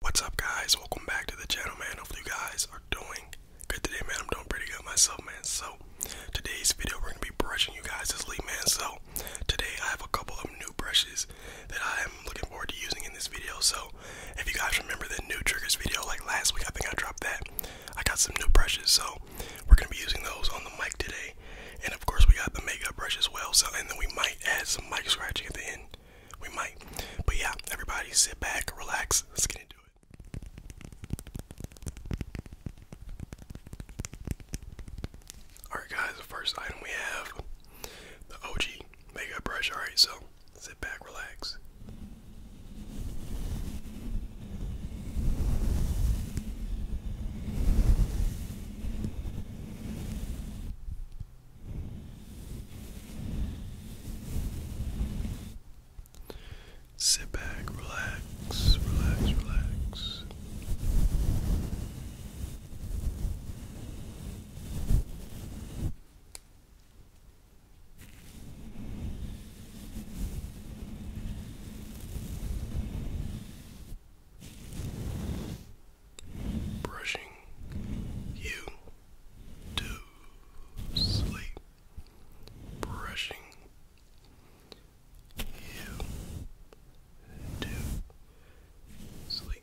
What's up guys? Welcome back to the channel man. Hopefully you guys are doing good today man. I'm doing pretty good myself man. So today's video we're gonna be brushing you guys this lead man. So today I have a couple of new brushes that I am looking forward to using in this video. So if you guys remember the new triggers video like last week I think I dropped that. I got some new brushes so we're gonna be using those on the mic today. And of course we got the makeup brush as well. So and then we might add some mic scratching at the end. We might. But yeah, everybody sit back, relax, let's get into it. Alright guys, the first item we have the OG makeup brush. Alright, so sit back, relax. Sit back, relax, relax, relax brushing you to sleep, brushing you to sleep.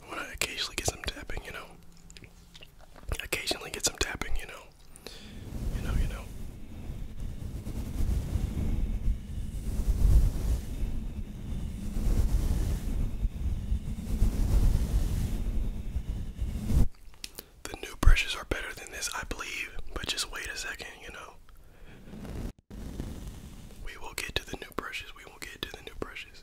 I want to occasionally get some tapping, you know. Occasionally get some tapping, you know. You know, you know. The new brushes are better than this, I believe, but just wait a second, you know. We will get to the new brushes. We will get to the new brushes.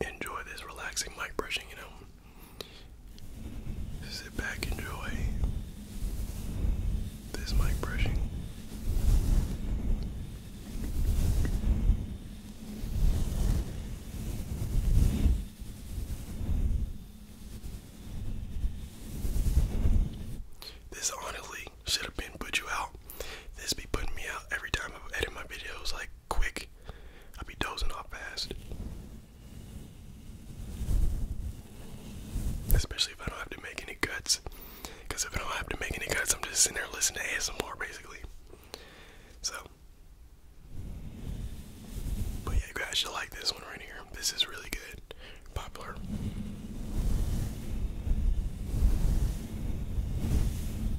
enjoy this relaxing mic brushing, you know. Sit back, enjoy this mic brushing. This honestly should have been put you out. This be putting me out every time I edit my videos like quick. I be dozing off fast. Especially if I don't have to make any cuts. Because if I don't have to make any cuts, I'm just sitting there listening to ASMR basically. So. But yeah, you guys should like this one right here. This is really good. Popular.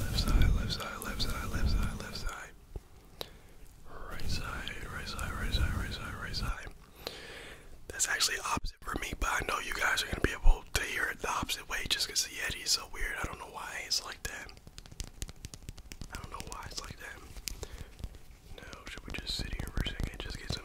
Left side, left side, left side, left side, left side. Right side, right side, right side, right side, right side. That's actually opposite for me, but I know you guys are gonna be able to hear it the opposite way just because the Yeti so weird. I don't know why it's like that. I don't know why it's like that. No, should we just sit here for a second? Just get some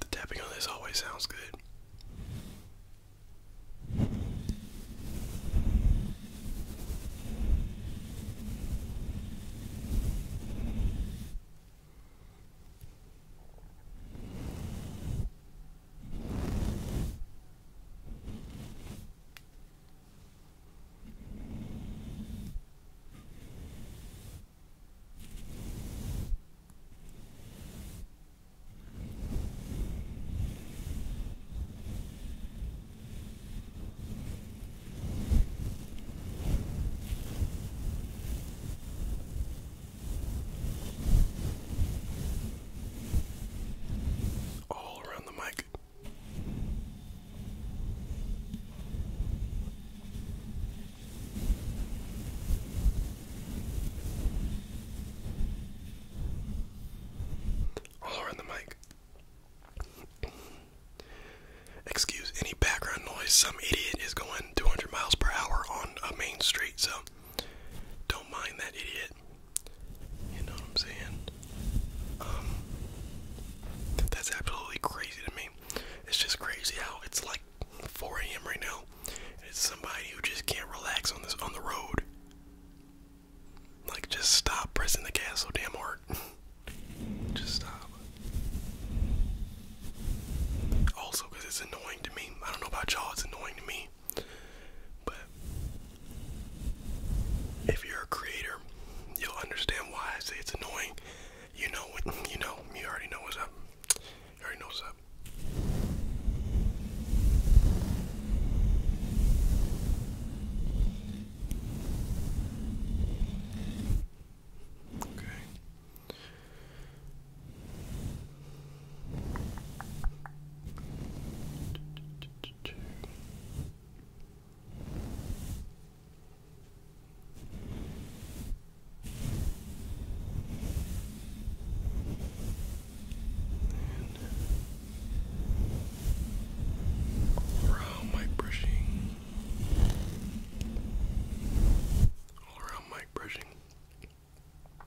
The tapping on this always sounds good. All around the mic. All around the mic. Excuse any background noise. Some idiot is going 200 miles per hour on a main street, so don't mind that idiot. You know what I'm saying? Um, that's absolutely crazy to me. It's just crazy how it's like 4 a.m. right now. It's somebody who just can't relax on this on the road. Like just stop pressing the gas so damn hard. just stop. Also, because it's annoying to me. I don't know about y'all, it's annoying to me. But if you're a creator, you'll understand why I say it's annoying. You know what you know, you already know what's up. You already know what's Okay. And all around mic brushing. All around mic brushing. All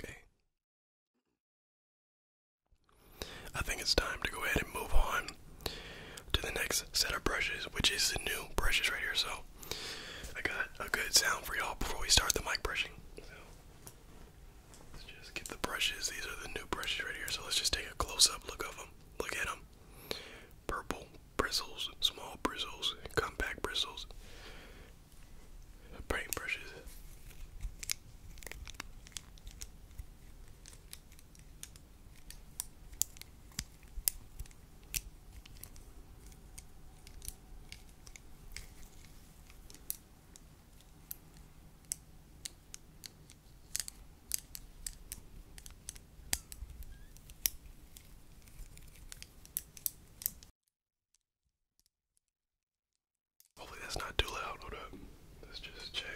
Okay. I think it's time to go ahead and move on to the next set of brushes, which is the new brushes right here. So I got a good sound for y'all before we start the mic brushing. So let's just get the brushes. These are the new brushes right here. So let's just take a close up look of them. Look at them. Purple bristles, small bristles, compact bristles, paintbrushes. Hopefully that's not too loud. Hold up. Let's just check.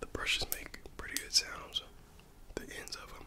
The brushes make pretty good sounds, the ends of them.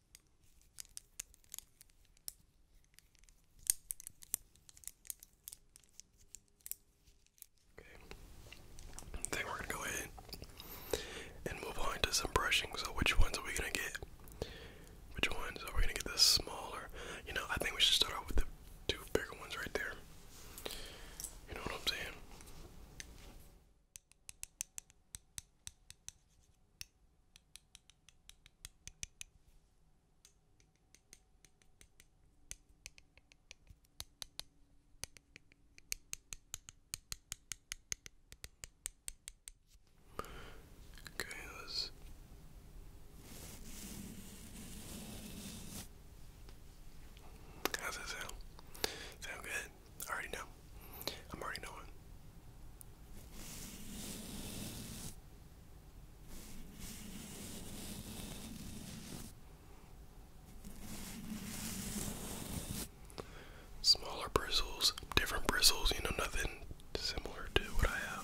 Okay. I we're gonna go ahead and move on to some brushing. So which ones are we gonna get? Which ones are we gonna get the smaller? You know, I think we should start off with the two bigger ones right there. You know what I'm saying? Okay, let's how's that sound? Sound good? I already know. I'm already knowing. Smaller bristles, different bristles, you know, nothing similar to what I have.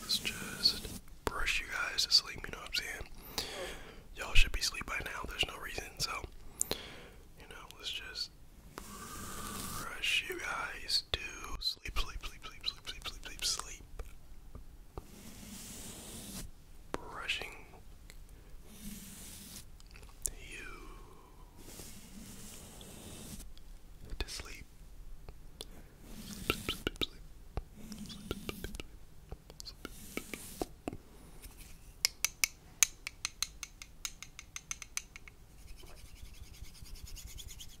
Let's just brush you guys to sleep, you know what I'm saying? Y'all should be sleeping by now, there's no reason, so you know, let's just brush you guys to sleep, sleep, sleep, sleep, sleep, sleep, sleep, sleep, sleep. Brushing you to sleep. Sleep, sleep, sleep, sleep. Sleep, sleep, sleep, sleep. Sleep, sleep, sleep. Sleep,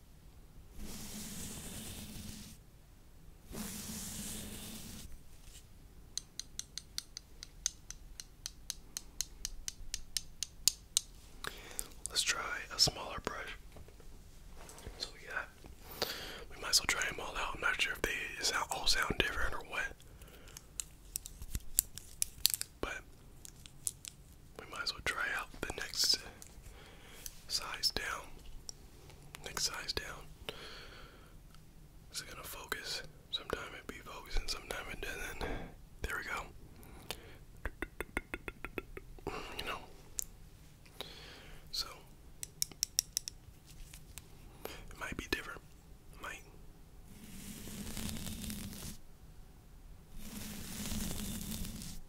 Let's try a smaller brush. So we got, we might as well try them all out. I'm not sure if they sound, all sound different or what. But we might as well try out the next size down. Next size down. Is gonna focus? Sometime it be focusing, sometime it doesn't. There we go. You know. So it might be different. might.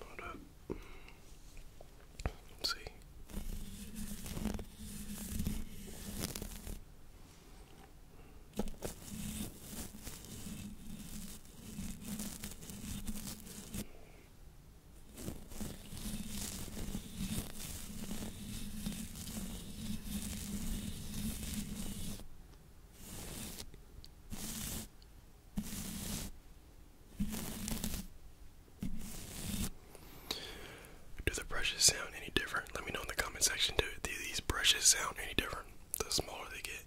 Hold up. Let's see. Do the brushes sound any different? Let me know in the comment section. Do, these brushes sound any different the smaller they get?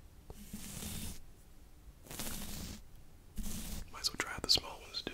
Might as well try the small ones too.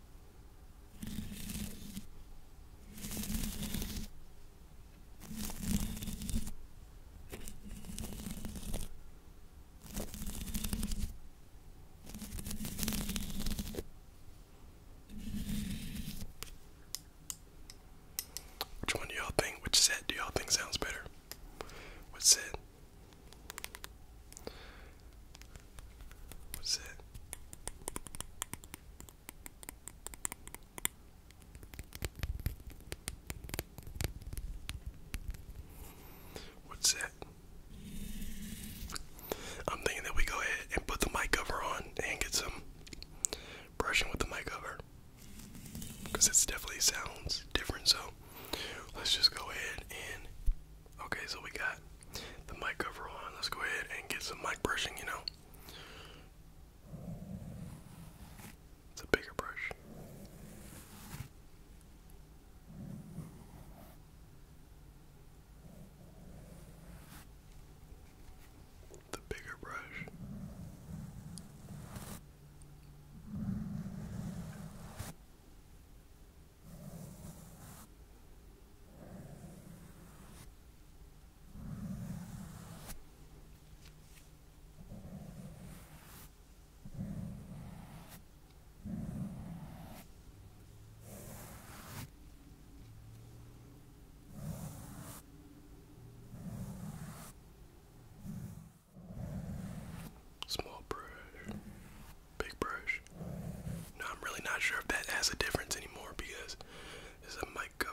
Which one do y'all think? Which set do y'all think sounds better? What set? What's it? What's that? I'm thinking that we go ahead and put the mic cover on and get some brushing with the mic cover. Because it definitely sounds different, so let's just go ahead and Okay, so we got the mic cover on. Let's go ahead and get some mic brushing, you know. It's a bigger brush. The bigger brush. Small brush big brush. Now I'm really not sure if that has a difference anymore because this a mic cover.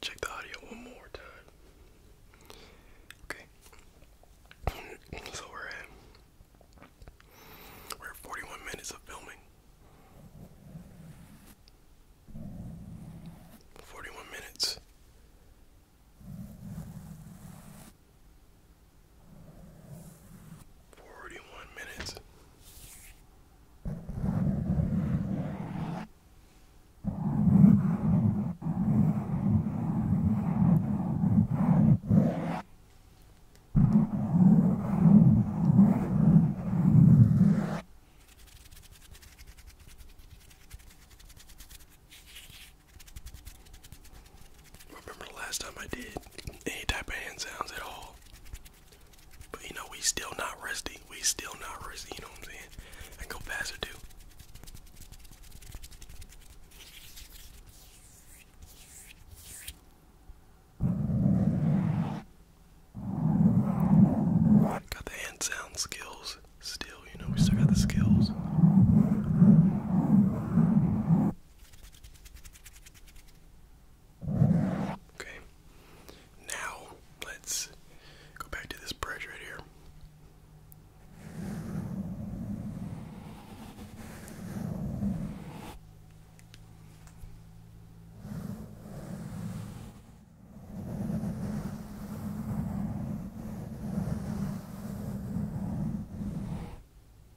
Check the audio one more time. Okay. so we're at we're 41 minutes of filming. 41 minutes. Forty one minutes remember the last time I did any type of hand sounds at all. But you know, we still not rusty. We still not rusty, you know what I'm saying? I go faster too. Got the hand sound skills still, you know, we still got the skills. Okay. Now let's go back to this brush right here.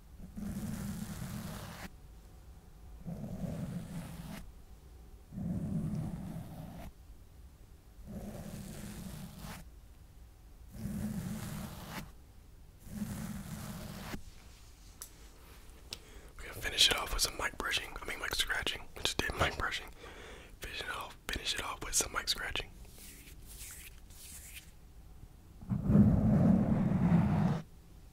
We're gonna finish it off with some mic brushing. I mean, mic scratching. I just did mic brushing. Finish it off. Finish it off with some mic scratching.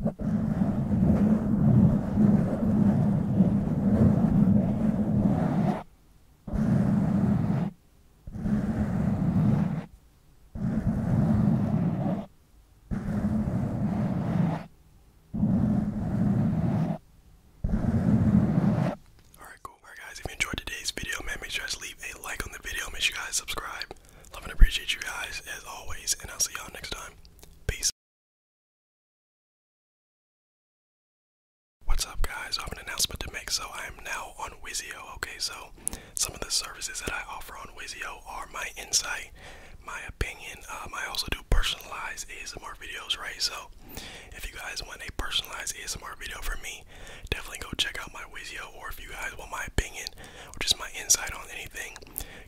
Alright, cool. Alright guys, if you enjoyed today's video, man, make sure you guys leave a like on the video. Make sure you guys subscribe. Love and appreciate you guys as always, and I'll see y'all next time. Peace. What's up, guys? I have an announcement to make. So, I am now on Wizio. Okay, so some of the services that I offer on Wizio are my insight, my opinion. Um, I also do personalized ASMR videos, right? So, if you guys want a personalized ASMR video from me, definitely go check out my Wizio. Or if you guys want my opinion or just my insight on anything,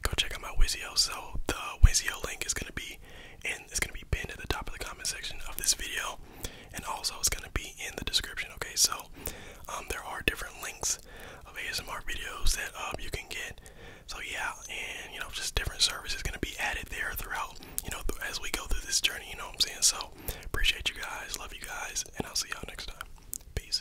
go check out my Wizio. So the Wizio link is gonna be in it's gonna be pinned at the top of the comment section of this video, and also it's gonna be in the description. Okay, so um, there are different links of ASMR videos that um, you can get. So yeah, and you know, just different services gonna be added there throughout. You know, as we go through this journey. You know what I'm saying? So appreciate you guys, love you guys, and I'll see y'all next time. Peace.